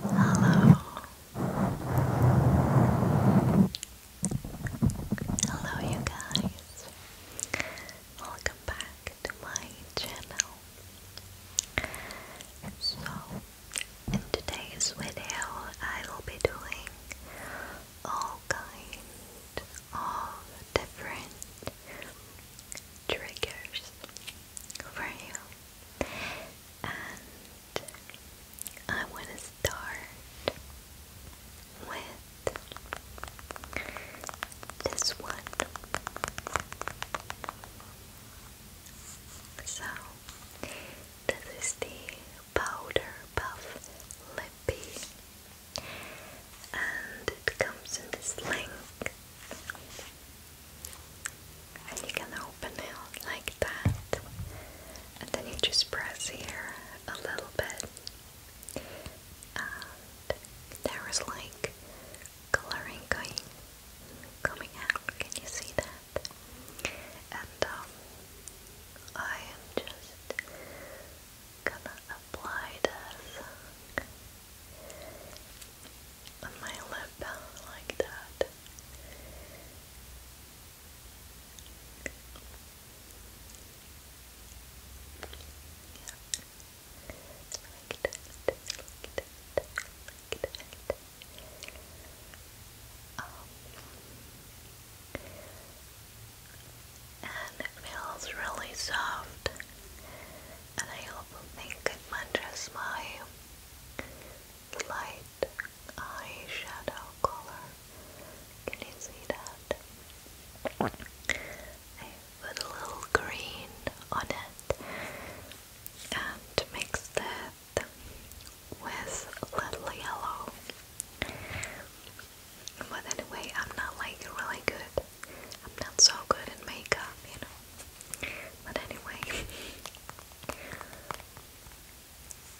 Hello. Hello, you guys. Welcome back to my channel. So, in today's video, I will be doing all kinds of different triggers for you and I want to start with this one. So, this is the Powder Puff Lippy, and it comes in this length and you can open it like that and then you just press here a little bit there is like coloring going coming out can you see that and um, I am just gonna apply this on my lip like that. Yeah. Like that, like that, like that. Um, and it feels really soft and I hope they could matches my light eyeshadow color. Can you see that? I put a little green on it and mixed it with a little yellow. But anyway, I'm not like really good I'm not so good at makeup, you know. But anyway,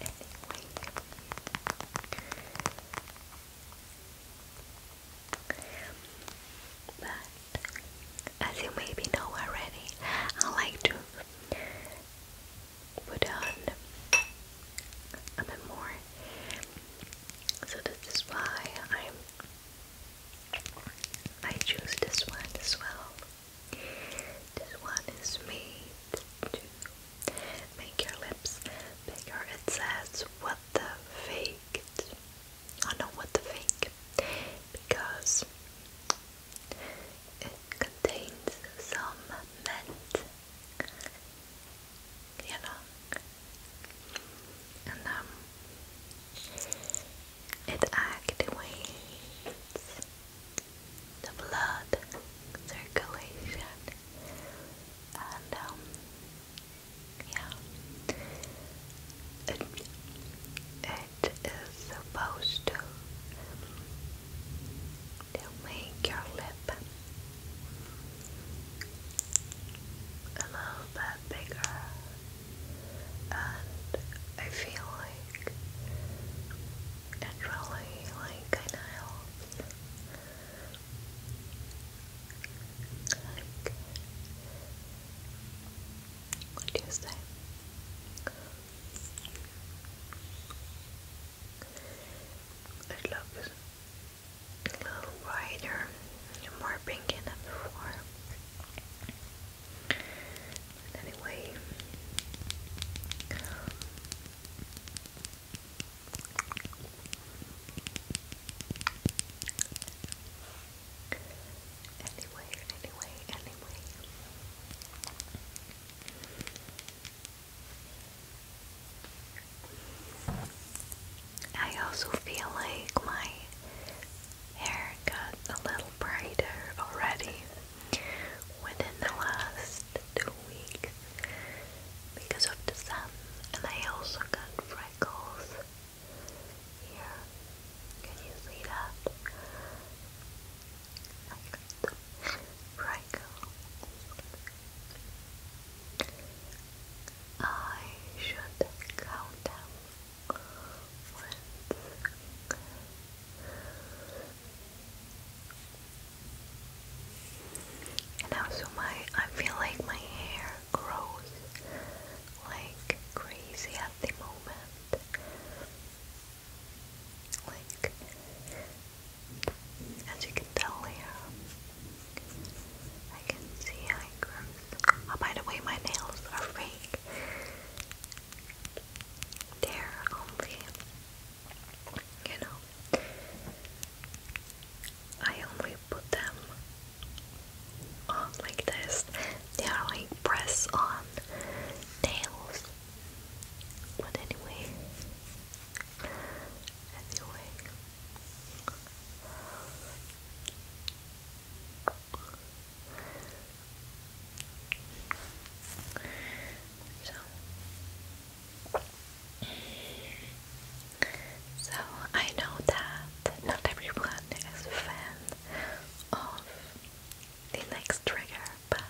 anyway, but as you maybe know already, I like to put on a bit more. So this is why I'm I choose this one as well. This one is made to make your lips bigger. It says what the faked. I know what the fake because it contains some mint you know. And um, it activates the blood circulation, and um, yeah, it it is supposed to to make your lip a little bit bigger, and I feel like it like kind Like, what do you say? It looks a little brighter, and more pinky than before. But anyway, anyway, anyway. I also feel like my hair got a little brighter already within the last two weeks because of the sun, and I also got freckles here. Can you see that? I the freckles I should count them once. And my I feel like my hair grows like crazy at the moment. Like as you can tell here, I can see how it grows. Oh, by the way, my nails are fake. They're only, you know, I only put them on like this. They are like press on nails. But anyway, Anyway. So, so I know that not everyone is a fan of the next trigger, but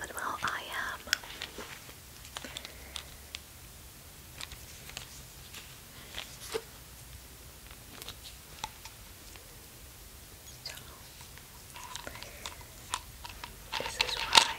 but well, I am. Um, so, this is why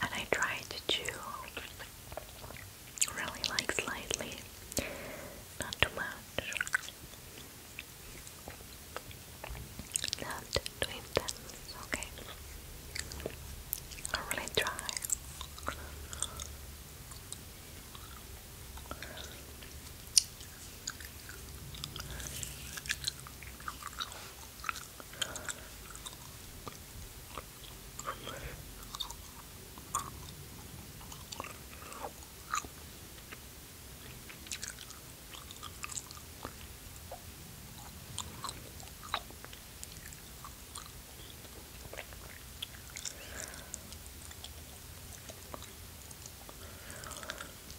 And I tried to really like slightly, not too much, not too intense, okay? I'll really try.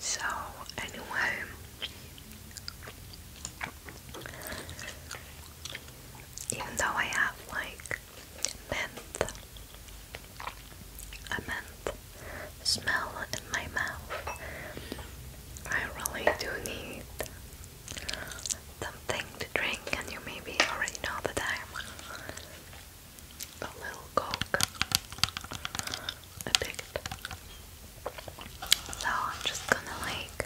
So, anyway, even though I have like Mint. A mint smell in my mouth. I really do need something to drink, and you maybe already know the time. a little coke addict. So I'm just gonna like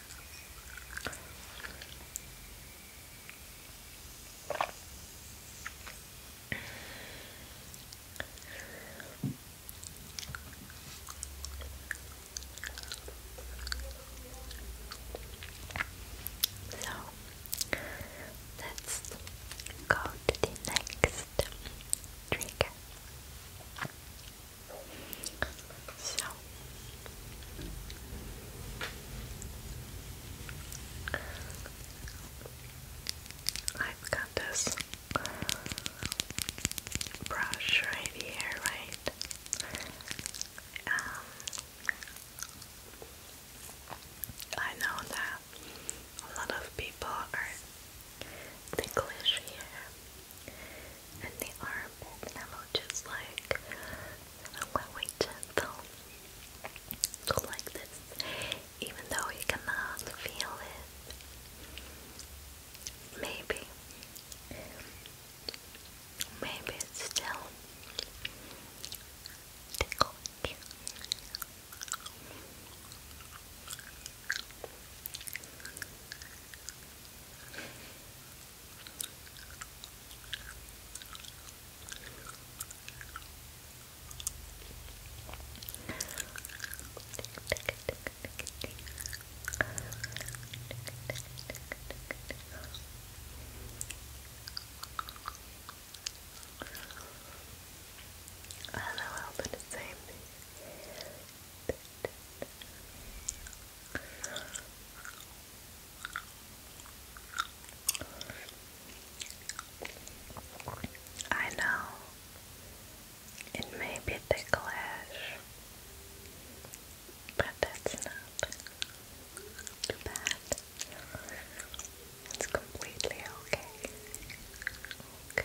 So let's go to the next trigger. So I've got this brush right here, right? Um, I know that a lot of people are ticklish here, and the armpit level, just like I'm going gentle, like this, even though you cannot feel it. Maybe, maybe it's still tickling. I don't know how, but it's the same. I know it may be ticklish, but that's not too bad. It's completely okay. Okay.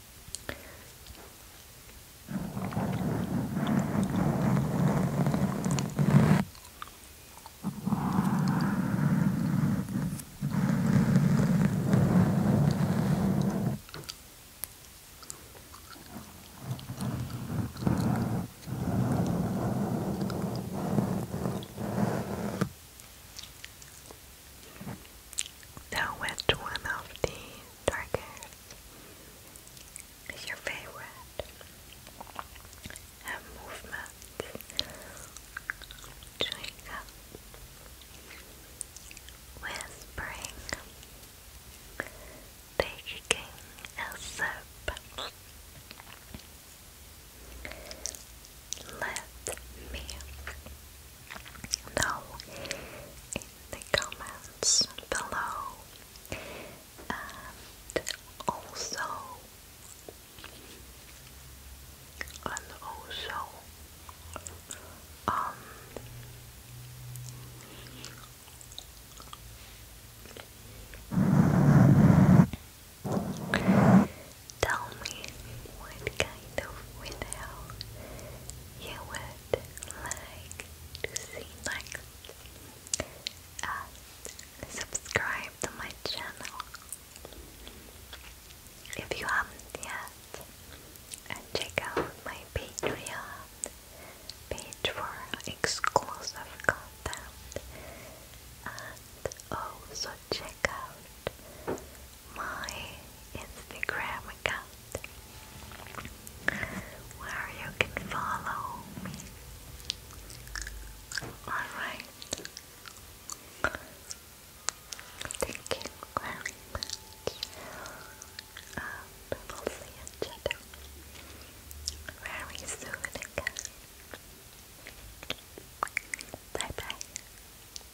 Now, which one of the darker is your favorite. Her movements chewing up, whispering, baking a soup. Let me know if the comments below and also and also um Tell me what kind of video you would like to see next. subscribe to my channel if you haven't yet. And check out my Patreon page for exclusive content. And also check out my Instagram account where you can follow me. Alright. Thank you very much. Um, will see each other very soon Bye bye.